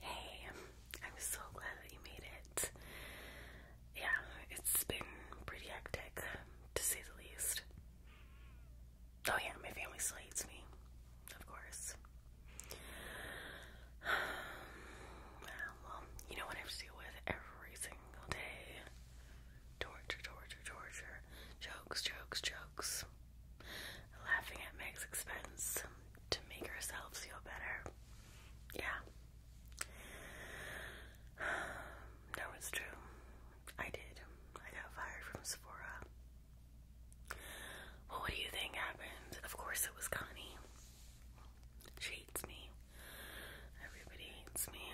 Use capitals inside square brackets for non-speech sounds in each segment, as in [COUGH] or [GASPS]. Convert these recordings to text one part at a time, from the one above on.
Hey, I'm so glad that you made it. Yeah, it's been pretty hectic, to say the least. Oh, yeah, my family still hates me, of course. [SIGHS] you know what I have to deal with every single day torture, torture, torture, jokes, jokes, jokes. Laughing at Meg's expense to make ourselves feel better. Yeah. [SIGHS] No, it's true. I did. I got fired from Sephora. Well, what do you think happened? Of course, it was Connie. She hates me. Everybody hates me.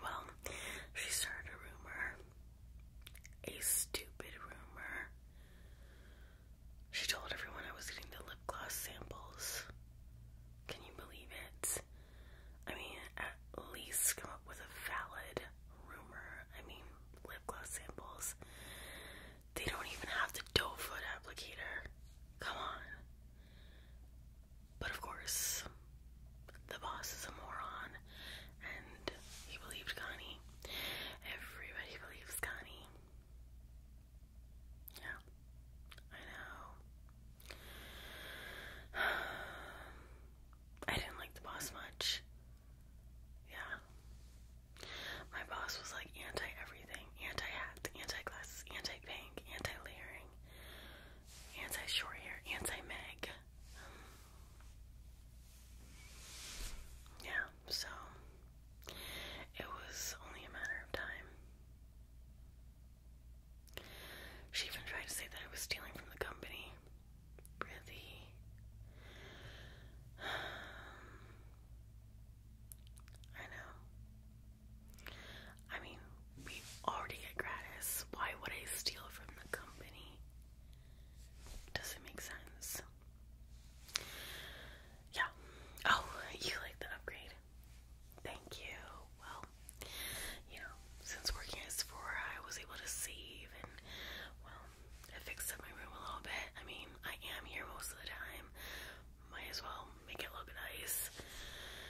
Well, she started a rumor a stupid rumor. She told everyone I was getting the lip gloss samples. Can you believe it? I mean, at least come up with a valid rumor. I mean, lip gloss samples. They don't even have the doe foot applicator. Come on. But of course, the boss is a moron and he believed Connie. Everybody believes Connie. Yeah, I know. [SIGHS] I didn't like the boss much. Yeah. My boss was like anti everything anti hat, anti glasses, anti pink, anti layering, anti short hair, anti Meg. Um, yeah so it was only a matter of time. She even tried to say that I was stealing from the company. Really? [SIGHS] I know. I mean, we already get gratis. Why would I steal from the company? Does it make sense? yeah. Oh, you like the upgrade. Thank you. Well, you know, since working at Sephora, I was able to save and, well, I fixed up my room a little bit. I mean, I am here most of the time. Might as well make it look nice.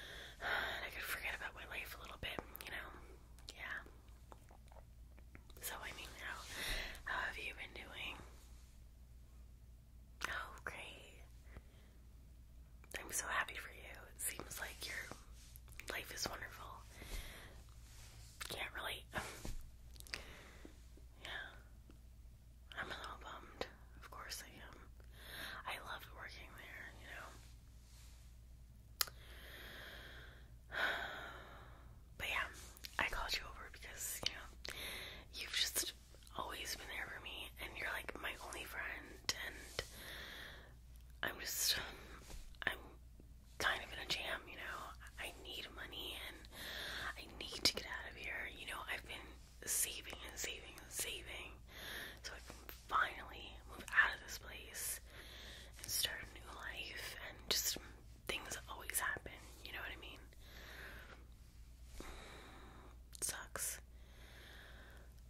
[SIGHS] I could forget about my life a little bit, you know? Yeah. So I mean, how how have you been doing? Oh, great! I'm so happy for you. It seems like your life is wonderful. Can't relate. [LAUGHS] yeah, I'm a little bummed. Of course I am. I loved working there, you know. [SIGHS] [SIGHS] But yeah, I called you over because, you know, you've just always been there for me and you're like my only friend and I'm just I'm kind of in a jam, you know. I need money and I need to get out of here. You know, I've been saving and saving and saving so I can finally move out of this place and start a new life and just things always happen, you know what I mean? Sucks.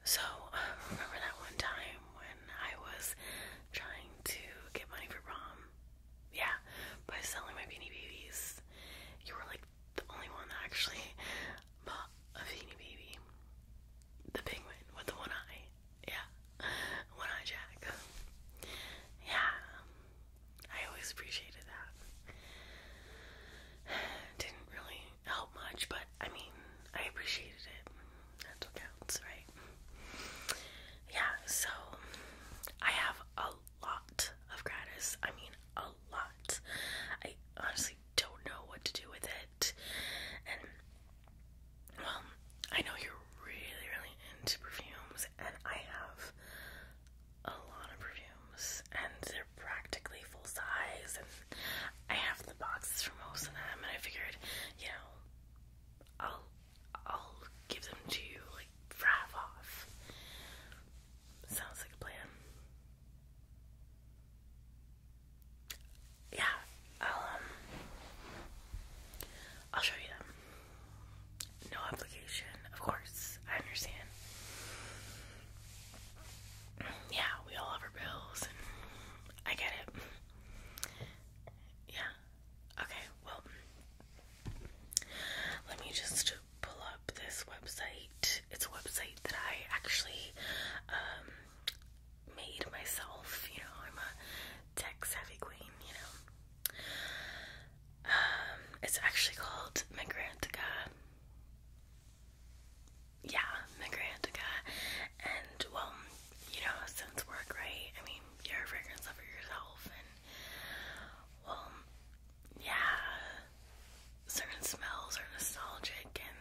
So, [SIGHS] remember that one time when I was trying to get money for prom? Yeah, by selling my beanie babies. You were like the only one that actually [LAUGHS] bought a beanie baby. The penguin with the one eye. Yeah. [LAUGHS] One Eye Jack. Yeah, I always appreciated that. [SIGHS] Didn't really help much, but I mean, I appreciated it. That's what counts, right? Yeah, so I have a lot of gratis. I mean, a lot. I honestly don't know what to do with it. And, well, I know you're really, really into perfumes and I have a lot of perfumes, and they're practically full size, and I have the boxes for most of them, and I figured, you know, I'll I'll give them to you like for off. Sounds like a plan. Yeah, um I'll show you them. No obligation, of course. I understand. Yeah, we all have our bills, I get it. Yeah. Okay, well, let me just pull up this website. It's a website that I actually um, made myself. You know, I'm a tech savvy queen, you know. Um, it's actually called Migrantica. Yeah, Migrantica. And, well, you know, since work, right? I mean, you're a fragrance yourself, and, well, yeah, certain smells are nostalgic and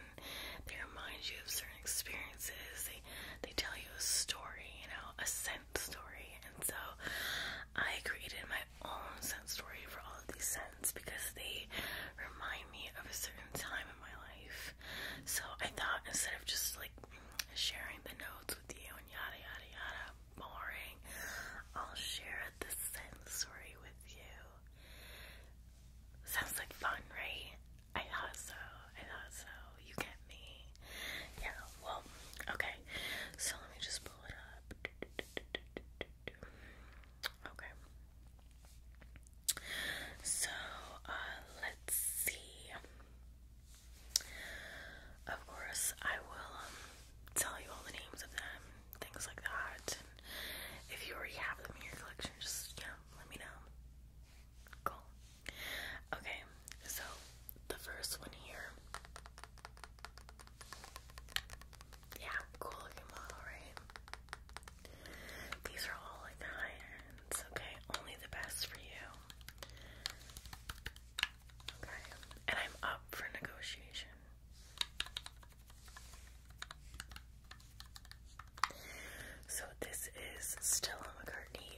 they remind you of certain experiences. They, they tell you a story, you know, a scent scent story, and so I created my own scent story for all of these scents because they remind me of a certain time in my life. So I thought instead of just like sharing the notes with you and yada yada yada, boring, I'll share the scent story with you. Sounds like fun, right? I thought so. I thought so. You get me? Yeah, well, okay. So let me just pull it up. Okay. So, uh, let's see. Of course, I will um, tell you all the names of them, things like that. if you already have them in your collection, just, yeah, let me know. Cool. Okay, so the first one here. Yeah, cool looking model, These are all like high ends, okay? Only the best for you. Okay, and I'm up for negotiation. So this is Stella McCartney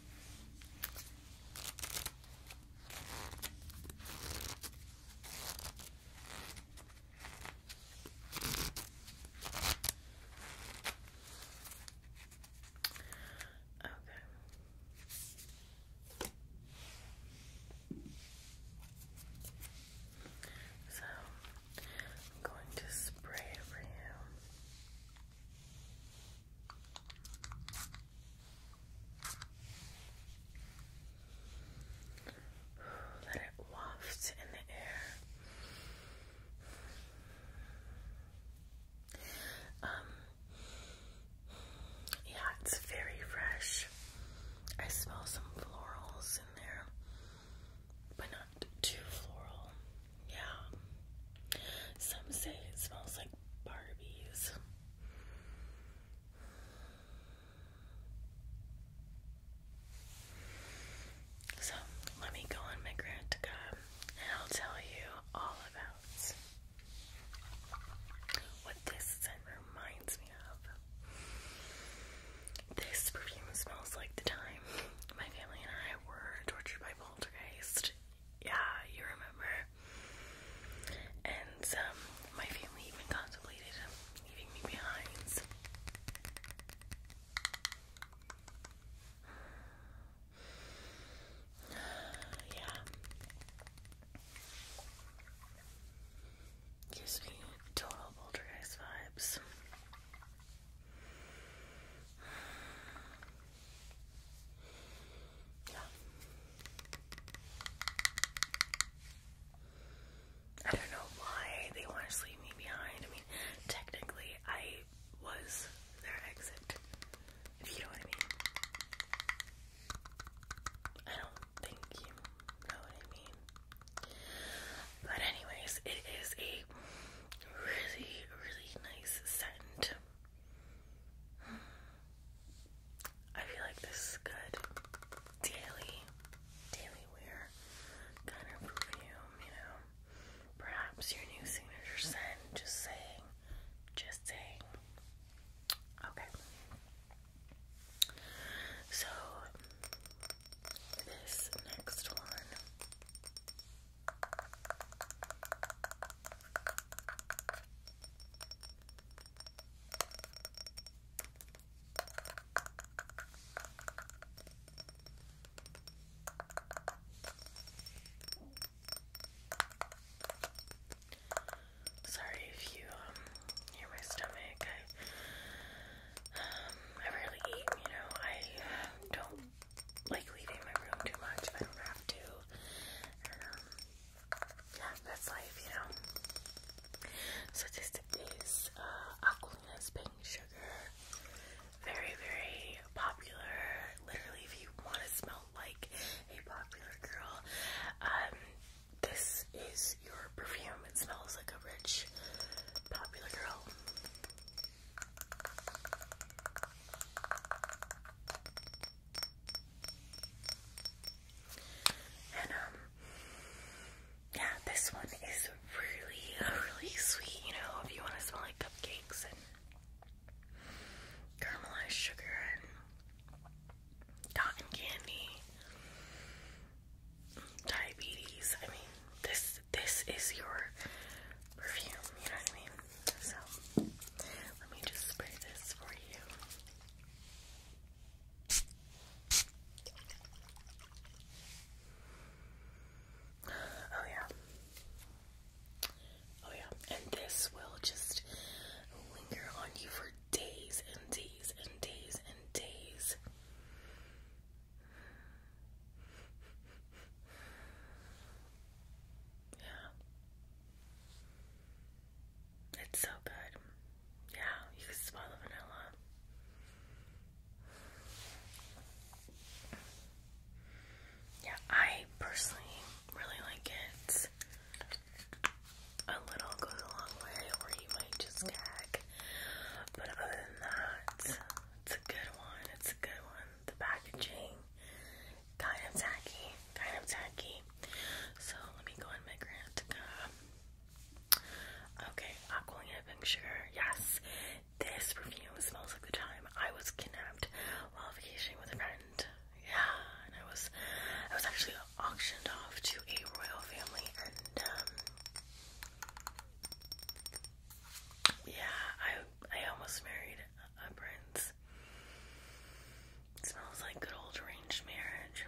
Okay. So I'm going to spray over you. Let it waft in the air. Um, yeah, it's very fresh. I smell some florals in there, but not too floral. Yeah. Some say it smells like Barbies. So let me go on my Grantica and I'll tell you all about what this scent reminds me of. This perfume smells like the time my family and I were tortured by poltergeist yeah, you remember. And um, my family even contemplated leaving me behind. [SIGHS] yeah. Gives me total poltergeist vibes. I don't know why they want to leave me behind. I mean, technically, I was their exit. If you know what I mean. I don't think you know what I mean. But anyways, it is a really, really nice scent. I feel like this is good daily, daily wear kind of perfume, you know. Perhaps your new signature scent, just saying, just saying. Okay. So, this next one Sorry if you um, hear my stomach. I um, I rarely eat, you know. I don't like leaving my room too much if I don't have to. Um, yeah, that's life, you know. So this is uh, Aquilina's Pink Sugar. Very, very popular. Literally, if you want to smell like a popular girl, um, this is your perfume. It smells like a rich, popular girl. And um yeah, this one is really, really sweet, you know, if you want to smell like cupcakes and caramelized sugar and cotton candy, diabetes. I mean, this this is your perfume, you know what I mean? So, let me just spray this for you. Oh, yeah. Oh, yeah. And this will just linger on you for days and days and days and days. Yeah. It's so good. Yeah, you can swallow vanilla. Yeah, I personally really like it. A little goes a long way, or you might just gag. But other than that, it's a good one. It's a good one. The packaging kind of tacky, kind of tacky. So let me go in Migrantica. Okay, Aqualina Pink Yes, this perfume smells like the time I was kidnapped while vacationing with a friend. Yeah, and I was, I was actually auctioned off to a royal family, and um, yeah, I I almost married a prince. smells like good old arranged marriage.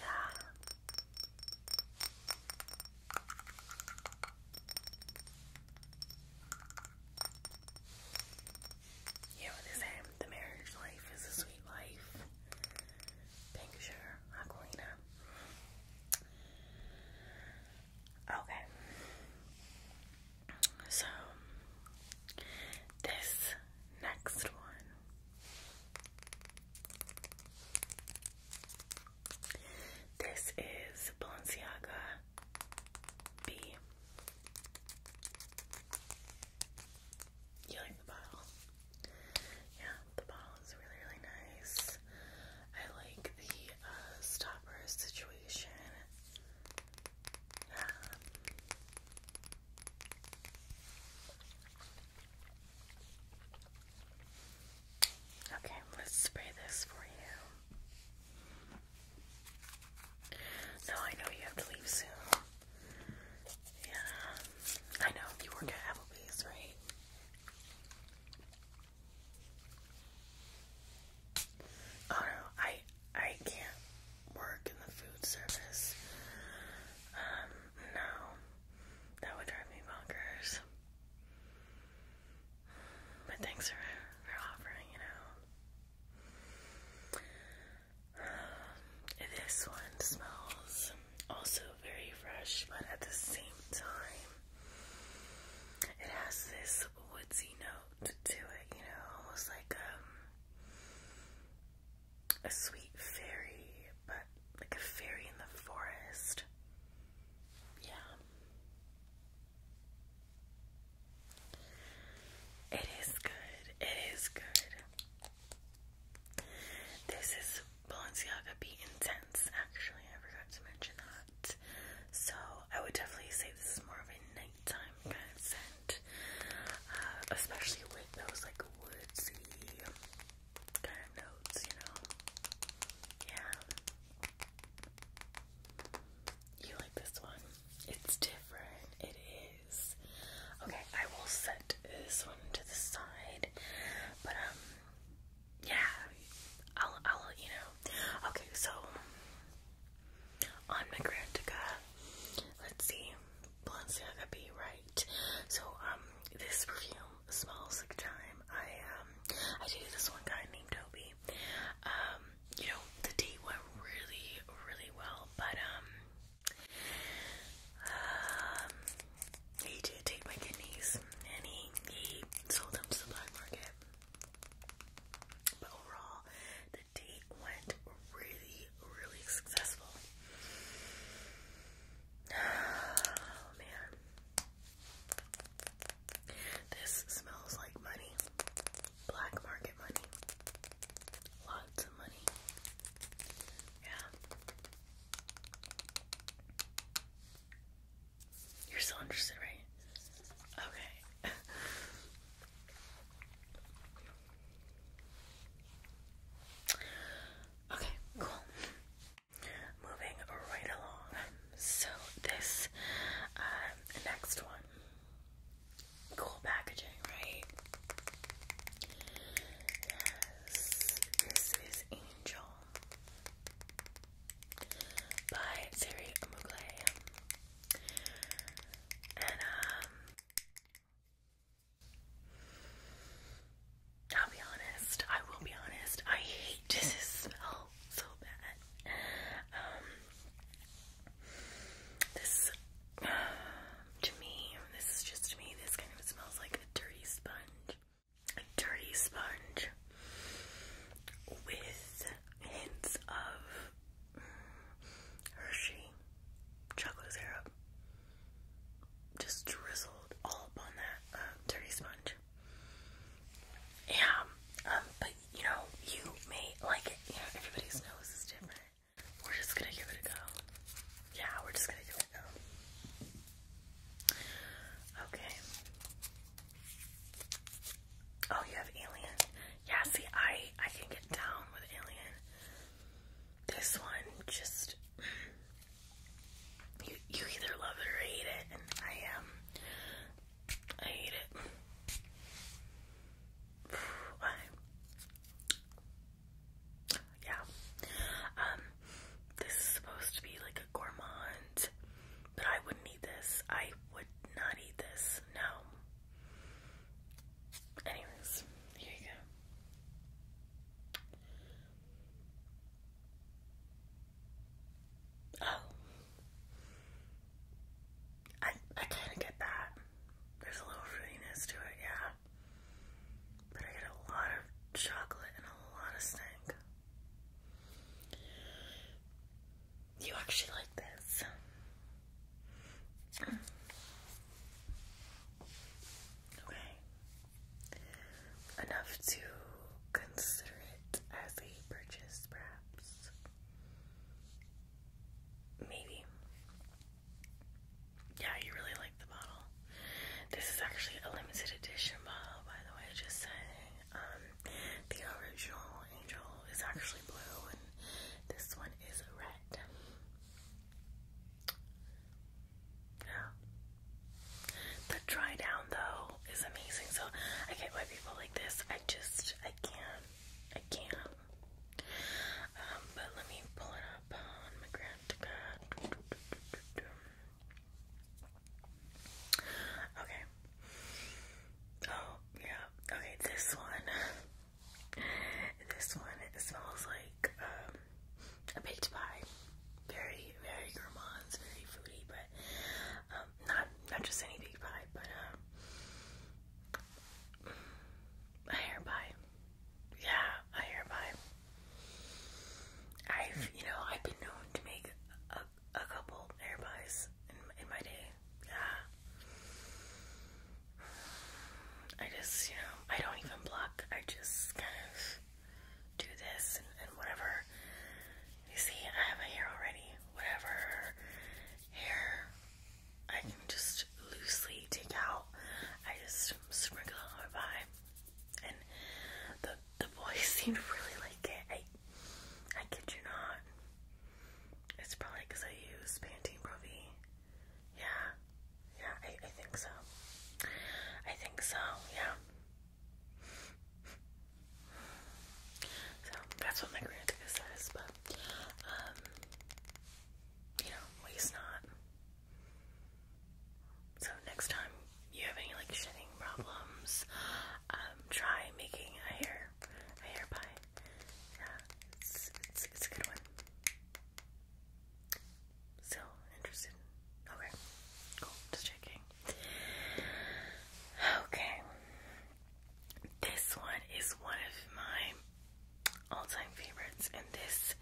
Yeah. You know what The marriage life is a sweet life. Picture Aquilina. Okay. So this next one this is Balenciaga B. You like the bottle? Yeah, the bottle. It's really, really nice. I like the uh, stopper situation. Yeah. Okay, let's spray this for you. No, I know you have to leave soon. Yeah, I know you work at Applebee's, right? Oh no, I I can't work in the food service. Um, no. That would drive me bonkers. But thanks for for offering it out. [SIGHS] this one smells also very fresh, but at the same time, it has this woodsy note to it, you know, almost like um, a sweet fairy, but like a fairy in the forest. Yeah. It is good. It is good. This is Balenciaga be intense. Actually, I forgot to mention that. So I would definitely say this is more of a nighttime kind of scent, uh, especially with those like woodsy kind of notes, you know. Yeah. You like this one? It's different. It is. Okay, I will set this one to the side, but um, yeah, I'll, I'll, you know. Okay, so on Magrantica, let's see, could be right. So, um, this perfume smells like time. I, um, I dated this one guy named Toby. Um, you know, the date went really, really well, but, um, um he did take my kidneys and he, sold them to the black market. But overall, the date went really, really successful. [SIGHS] Oh man. This smells like money. Black market money. Lots of money. Yeah. You're still interested, right? Okay. okay, cool. Moving right along. So, this um, next one. Cool packaging, right? Yes, this is Angel by Siri And um I'll be honest, I will be honest, I hate this smell so bad. Um this [SIGHS] to me, this is just me, this kind of smells like a dirty sponge. A dirty sponge with hints of Hershey chocolate syrup just drizzled all upon that um, dirty sponge. Yeah, um, but you know, you may like You know, everybody's nose is different. We're just gonna give it a go. Yeah, we're just gonna give it a go. Okay. Oh, you have Alien. Yeah, see, I I can get down with Alien. This one just you you either love it or hate it, and I am. Um, I hate it. [SIGHS] Why? Yeah. Um. This is supposed to be like a gourmand, but I wouldn't eat this. I would not eat this. No. Anyways, here you go. Oh. I I kinda get that. There's a little fruitiness to it, yeah. But I get a lot of chocolate and a lot of stink. You actually like this. Okay. Enough to consider it as a purchase, perhaps. Maybe. Yeah, you really like the bottle. This is actually a limited edition bottle, by the way, just saying. Um, the original angel is actually blue, and this one is red. Yeah. The dry down though is amazing. So I get why people like this. I just I can't. I can't. Um, but let me pull it up on my Okay. Oh, yeah. Okay, this one. This one, smells like um, a Big pie. Very, very gourmand, very fruity, but um, not not just any Big pie, but um, a hair pie. Yeah, a hair pie. I've, you know, I've been known to make a a couple hair pies in, my day. Yeah. I just, you know, I don't even block. I just kind of do this and, whatever. You see, I have a hair already. Whatever hair I can just loosely take out. I just sprinkle on my pie. And the the boys seem to really like it. I, I kid you not. It's probably because I use Pantene Pro V. Yeah, yeah, I, I think so. I think so, yeah. So that's what my grantica says, but um, you know, waste not. So next time you have any like shedding problems, um, try making a hair a hair pie. Yeah, it's, it's a good one. Still interested? Okay, cool. Just checking. Okay, this one is one of my all-time favorites, and this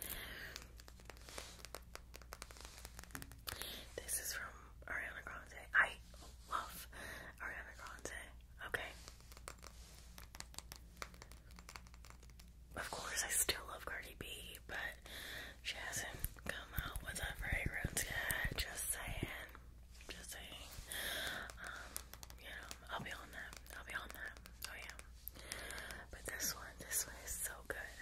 this is from Ariana Grande. I love Ariana Grande. Okay. Of course, I still love Cardi B, but she hasn't come out with a very good. Just saying. Just saying. Um, you I'll be on that. I'll be on that. Oh, yeah. But this one, this one is so good.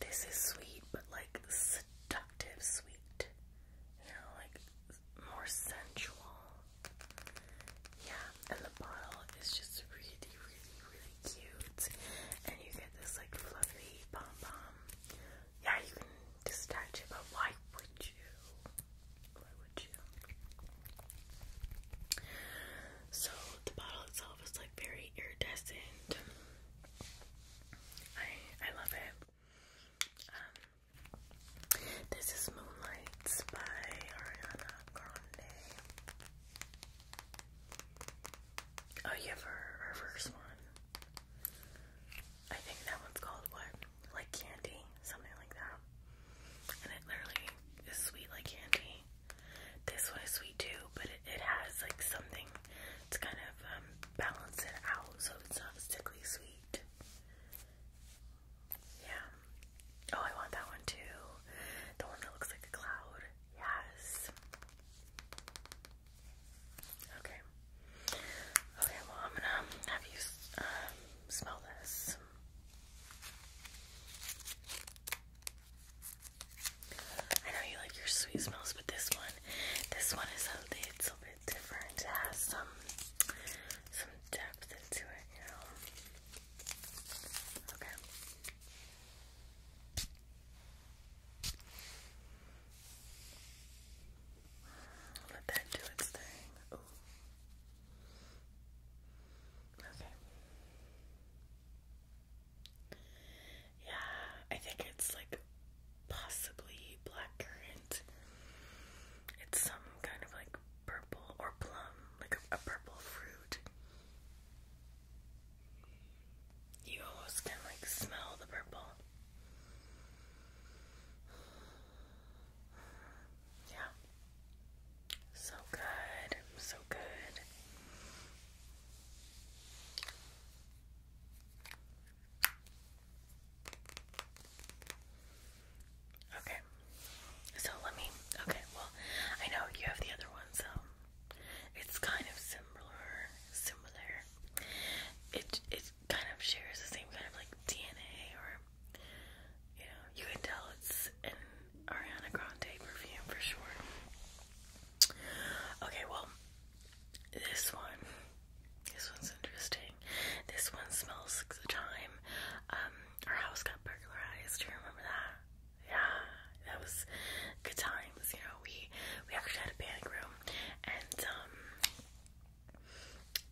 This is sweet, but like seductive sweet. You know, like more sensual. Yeah, and the bottle is just really, really, really cute. And you get this like fluffy pom pom. Yeah, you can detach it, but why would you? Why would you? So the bottle itself is like very iridescent. I I love it. Um, this is Moonlights by Ariana Grande. Oh, you have her, her first one. I think that one's called what? Like candy, something like that. And it literally is sweet like candy. This one is sweet too, but it, has like something to kind of um, balance it out so it's not sickly sweet. Yeah. Oh, I want that one too. The one that looks like a cloud. Yes. Okay. Okay, well, I'm gonna have you um, smell this. I know you like your sweet smells, but this one, this one is a little bit different. It has some, some depth into it, you know. Okay. Let that do its thing. Okay. Yeah, I think it's like possibly blackcurrant. It's some kind of like purple or plum, like a, purple fruit. You almost can like smell the purple. Yeah. So good, so good. Okay, so let me. Okay, well, I know you have the other one, so it's kind of similar. Similar. It it kind of shares the same kind of like DNA, or you know, you can tell it's Ariana Grande perfume for sure. Okay, well, this one, this one's interesting. This one smells like the time um, our house got burglarized. Do you remember that? Yeah, that was good times. You know, we we actually had a panic room, and um,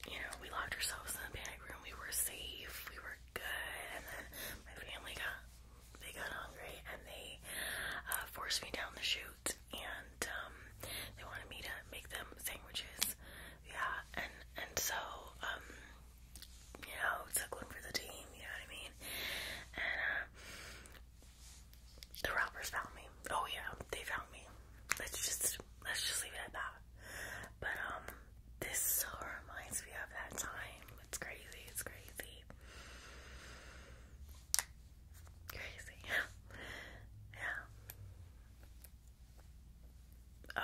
you know, we locked ourselves in the panic room. We were safe. We were good, and then my family got they got hungry and they uh, forced me down the chute and um, they wanted me to make them sandwiches. Yeah, and and so um, you know, it's like one for the team. You know what I mean? And uh, the robbers found me. Oh yeah, they found me. Let's just let's just leave it at that. But um. This so reminds me of that time. It's crazy, it's crazy. Crazy. [LAUGHS] yeah.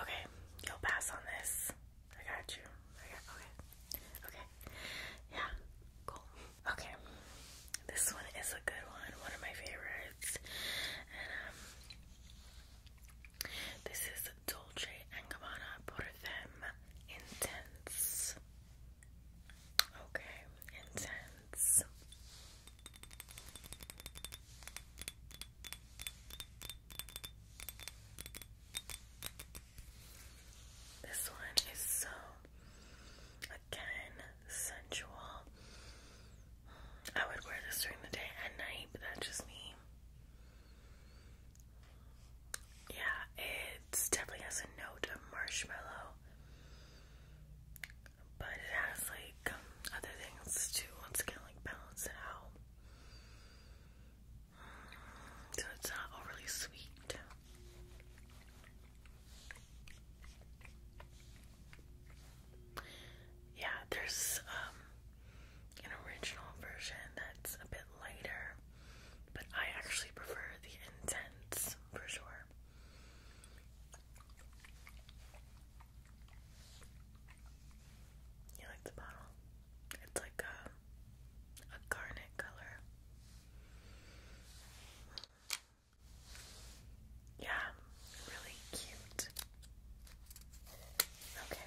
Okay, you'll pass on this. I got you. I okay. Okay. Yeah. Cool. Okay. This one is a good one. One of my favorites. Um, this is Dolce & Gabbana Por Them Intense. Okay, intense. This one is so, again, sensual. I would wear this during the day and night, but that's just me. Yeah, it definitely has a note of marshmallow, but it has like other things to once again like balance it out. Mm, so it's not overly sweet. Yeah, there's um, an original version that's a bit lighter, but I actually prefer the intense for sure. You like the bottle? It's like a a garnet color. Yeah, really cute. Okay.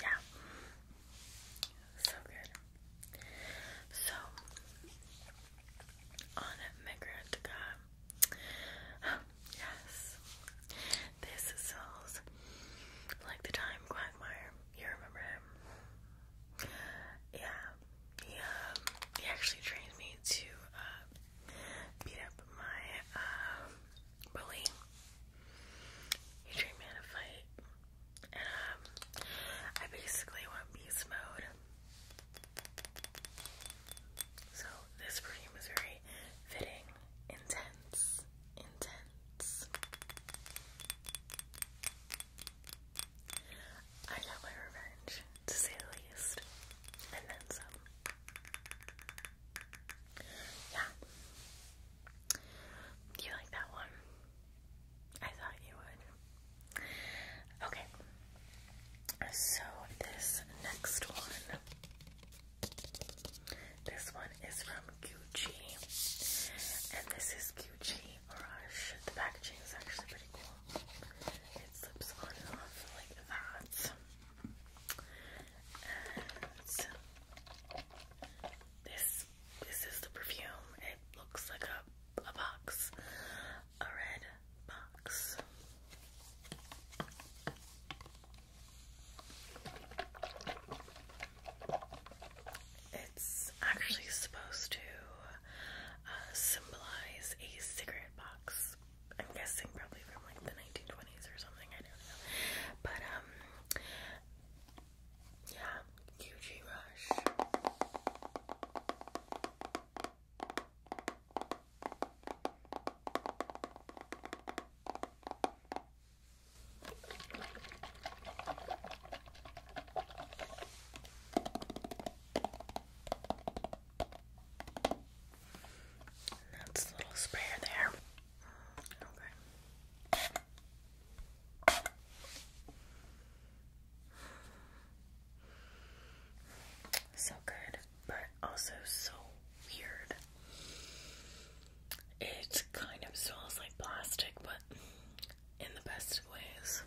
Yeah. So good. So, on Magrantica, [GASPS] yes, this sells like the time Quagmire. You remember him? Yeah. He, um, he actually trained me to uh, beat up my uh, bully. He trained me to fight. And um, I basically went beast mode. So this perfume is very fitting, intense, intense. I got my revenge, to say the least. And then some. Yeah. you like that one? I thought you would. Okay. So this next one. This one is from Gucci. And this is Gucci Rush. The packaging is actually pretty cool. It slips on and off like that this this is the perfume. It looks like a a box. A red box. It's actually supposed to uh, symbolize a cigarette box. I'm guessing probably from like the 1920s or something. I don't know. But um, yeah, QG Rush. that's a little sprayer there. Okay. So good, but also so weird. It kind of smells like plastic, but in the best ways.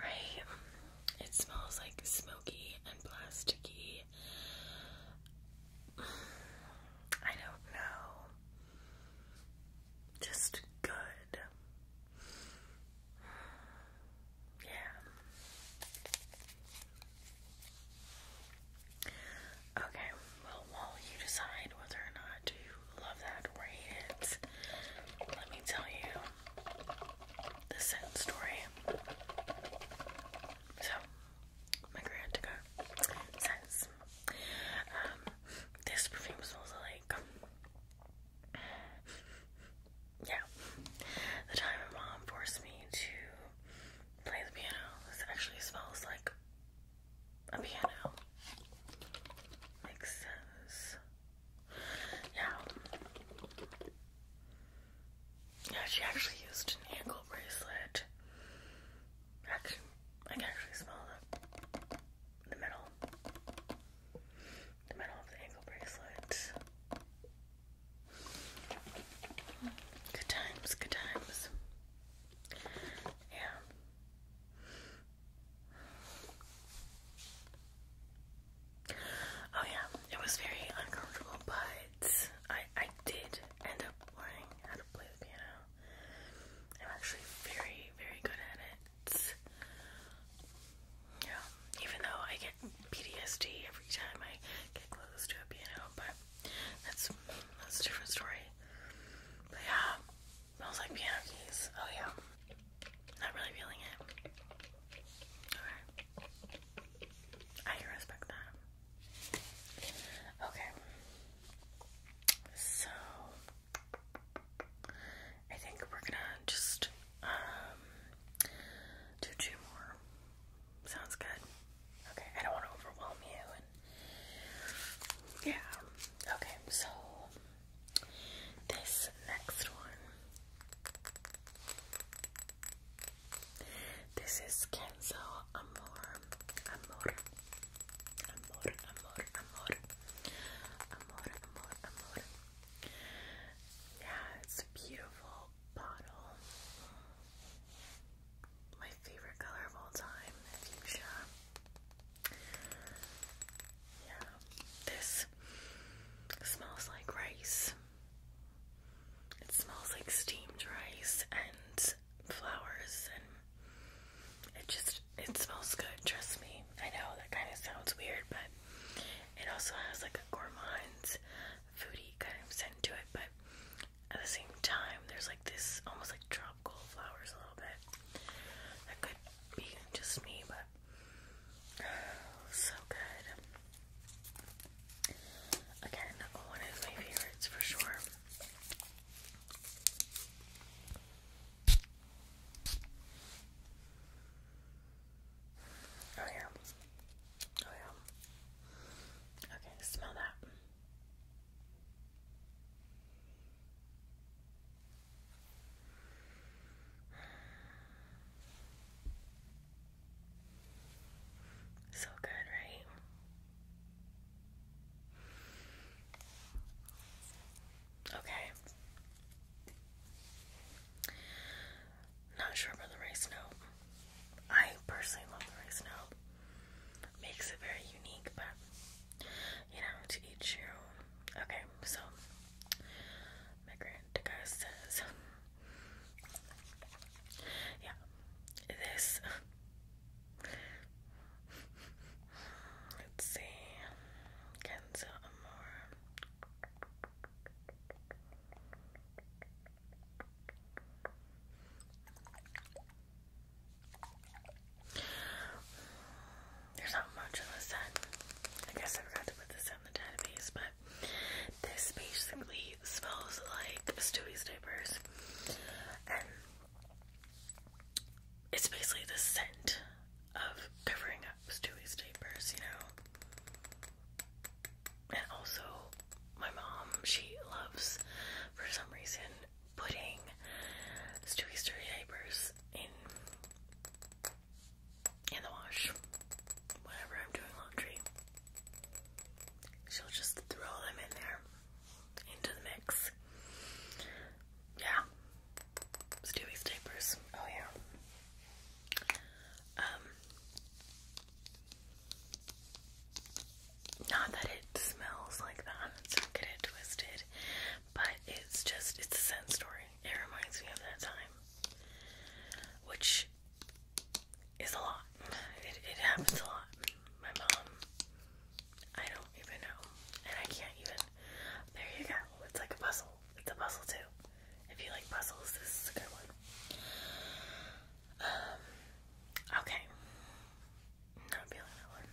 Right? It smells like smoky and plasticky I don't know. Just good. Yeah. Okay, well, while you decide whether or not you love that or let me tell you the scent story. So, my grand to um, this perfume smells like. Yeah. The time my mom forced me to play the piano. This actually smells like a piano. Makes sense. Yeah. Yeah, she actually used an ankle bracelet Actually, I can actually smell the, the metal. The metal of the ankle bracelet. Good times, good times. Yeah. Oh yeah, it was very uncomfortable, but I I did end up learning how to play the piano. I'm actually very, very good at it. Yeah, even though I get PTSD every time I get close to a piano, but that's that's a different story. But yeah, smells like piano keys. Oh yeah, not really feeling it. Okay, I respect that. Okay. So I think we're gonna just um, do two more. Sounds good. Okay, I don't want to overwhelm you and yeah. Okay, so this next one. This is cancel amor, amor, amor, amor, amor, amor, amor, amor. Yeah, it's a beautiful bottle. My favorite color of all time, fuchsia. Yeah, this smells like rice. It smells like steamed rice and flowers and it just it smells good, trust me. I know that kind of sounds weird, but it also has like a gourmands, foodie kind of scent to it, but at the same time there's like this almost like tropical flowers a little bit. That could be just me, but [SIGHS] so good. Again, one of my favorites for sure. Oh, yeah. Oh, yeah. Okay, smell that. So good, right? Okay. Not sure about the rice note. I personally love the rice note. Makes it very unique, but you know, to each your own. Okay, so migrant guy says Yeah. This Let's see. Kenzo Amore. There's not much on this end. I guess I forgot to put this in the database, but this basically smells like Stewie's diapers it's basically the scent of covering up Stewie's diapers, you know. And also, my mom, she loves, for some reason, putting Stewie's dirty diapers in in the wash whenever I'm doing laundry. She'll just throw them in there into the mix. Yeah. Stewie's diapers. Oh yeah. Um, not that it smells like that, let not get it twisted. But it's just it's a scent story. It reminds me of that time. Which is a lot. It, it happens a lot. My mom I don't even know. And I can't even. There you go. It's like a puzzle. It's a puzzle too. If you like puzzles, this is a good one. Um, okay. Not feeling that one.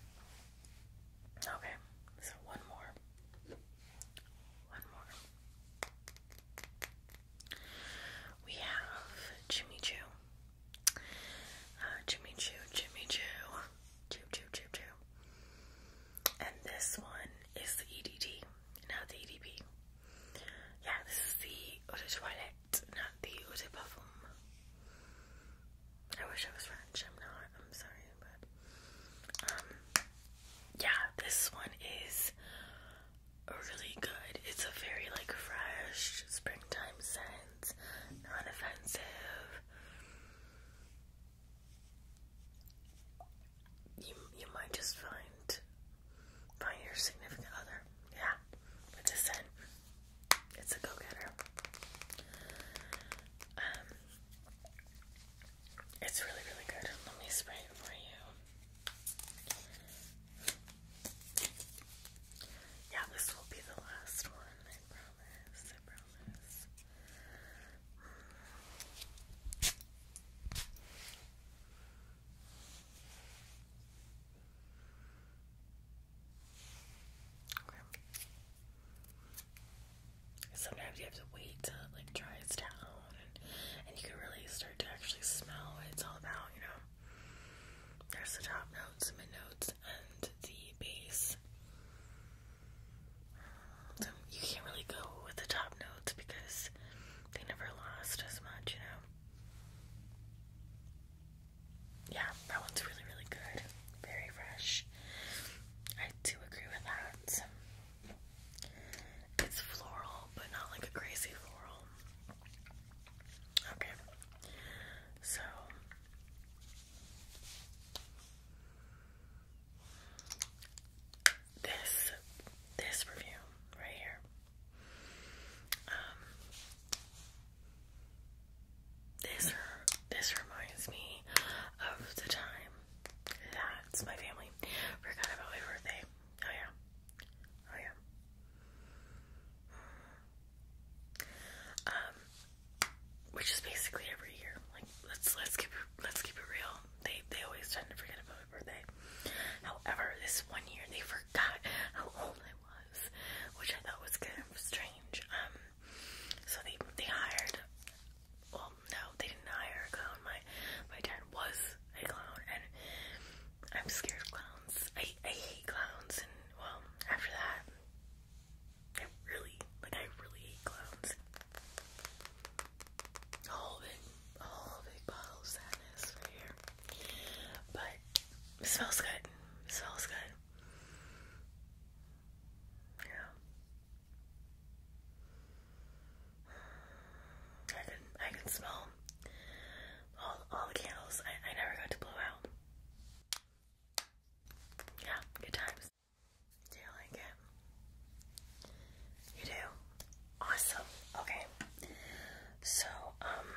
Okay. So one more. One more. We have Jimmy Choo. Uh, Jimmy Choo, Jimmy Choo, Choo Choo Choo Choo. And this one is the EDD, not the EDP. Yeah, this is the Eau de Toilette, not the Eau de I wish I was French, I'm not, I'm sorry, but, um, yeah, this one is really good. It's a very, like, fresh springtime scent non offensive. You, you might just find find your significant other. Yeah. But this in. It's a go getter. Um it's really, really good. Let me spray it for you. Yeah, this will be the last one, I promise. I promise. Sometimes you have to wait till it like dries down and you can really start to actually smell what it's all about, you know. There's the top notes, mid notes, and the bass. you can't really go with the top notes because they never lost as much, you know. Yeah, that one's really, really good. Very fresh. I do agree with that. It's floral, but not like crazy floral. Okay. So this this review right here. Um this this reminds me of the time That's my family forgot about my birthday. Oh yeah. Oh yeah. Um, which is basically every year. Like let's let's keep it, let's keep it real. They they always tend to forget about my birthday. However, this one year they forgot how old I was, which I thought was kind of strange. Um, so they they hired. Well, no, they didn't hire a clown. My my dad was a clown, and I'm scared of clowns. I I hate clowns, and well, after that, I really, like, I really hate clowns. A whole big, a whole big bottle of sadness here. But it smells good. It smells good. Yeah. I can, I can smell all, all the candles I, I never got to blow out. Yeah, good times. Do you like it? You do? Awesome. Okay. So, um,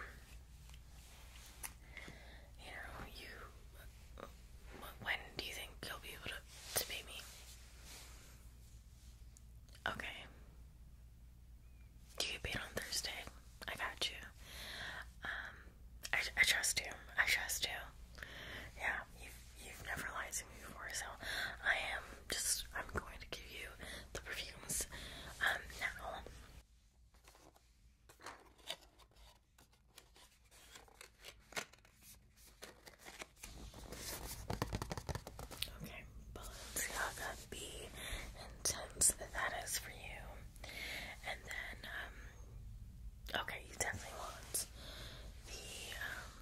you know, you, when do you think you'll be able to, to pay me? Okay. you get paid on Thursday? I got you. Um, I, trust you. I trust you. Yeah, you've, you've never lied to me before, so I am just, I'm going to give you the perfumes um, now. Okay, Balenciaga B Intense, that is for you. And then, um, Okay, you definitely want the um,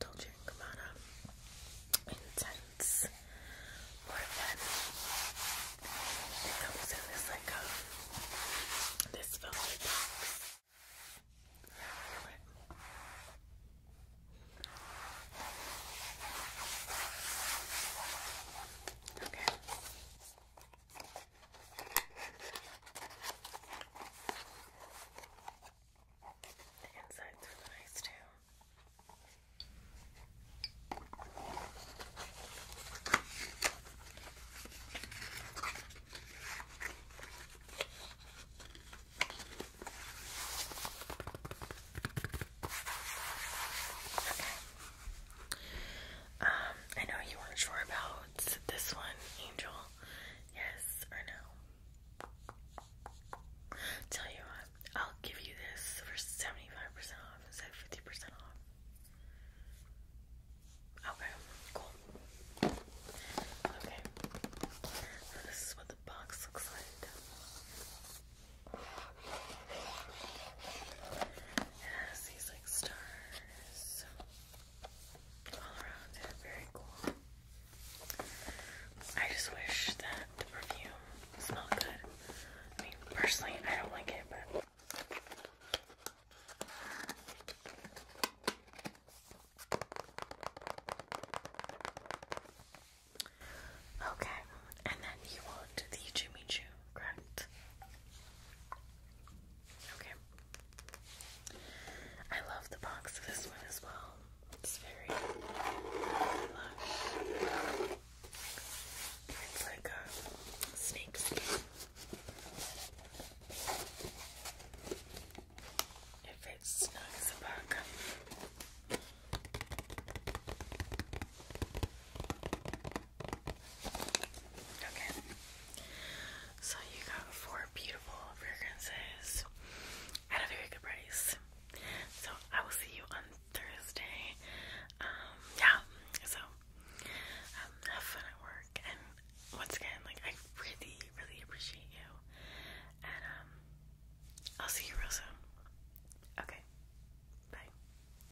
Dolce & Gabbana Intense Morphin. It comes in this like um, this velvet box. Okay. The insides are nice too. Okay. Um, I know you weren't sure about this one, Angel. Yes or no? Tell you what, I'll give you this for 75% off instead of 50% off. Okay, cool. Okay, so this is what the box looks like. It has these like stars all around it. Very cool. I just wish that the perfume smelled good. I mean, personally, I don't like it, but. Okay, and then you want the Jimmy Choo, correct? Okay. I love the box of this one as well. It's very It's like a snake skin. It fits Okay. So you got four beautiful fragrances at a very good price. So I will see you on Thursday. Um, yeah. So um, have fun at work and once again, like I really, really appreciate you. And um, I'll see you real soon. Okay. Bye.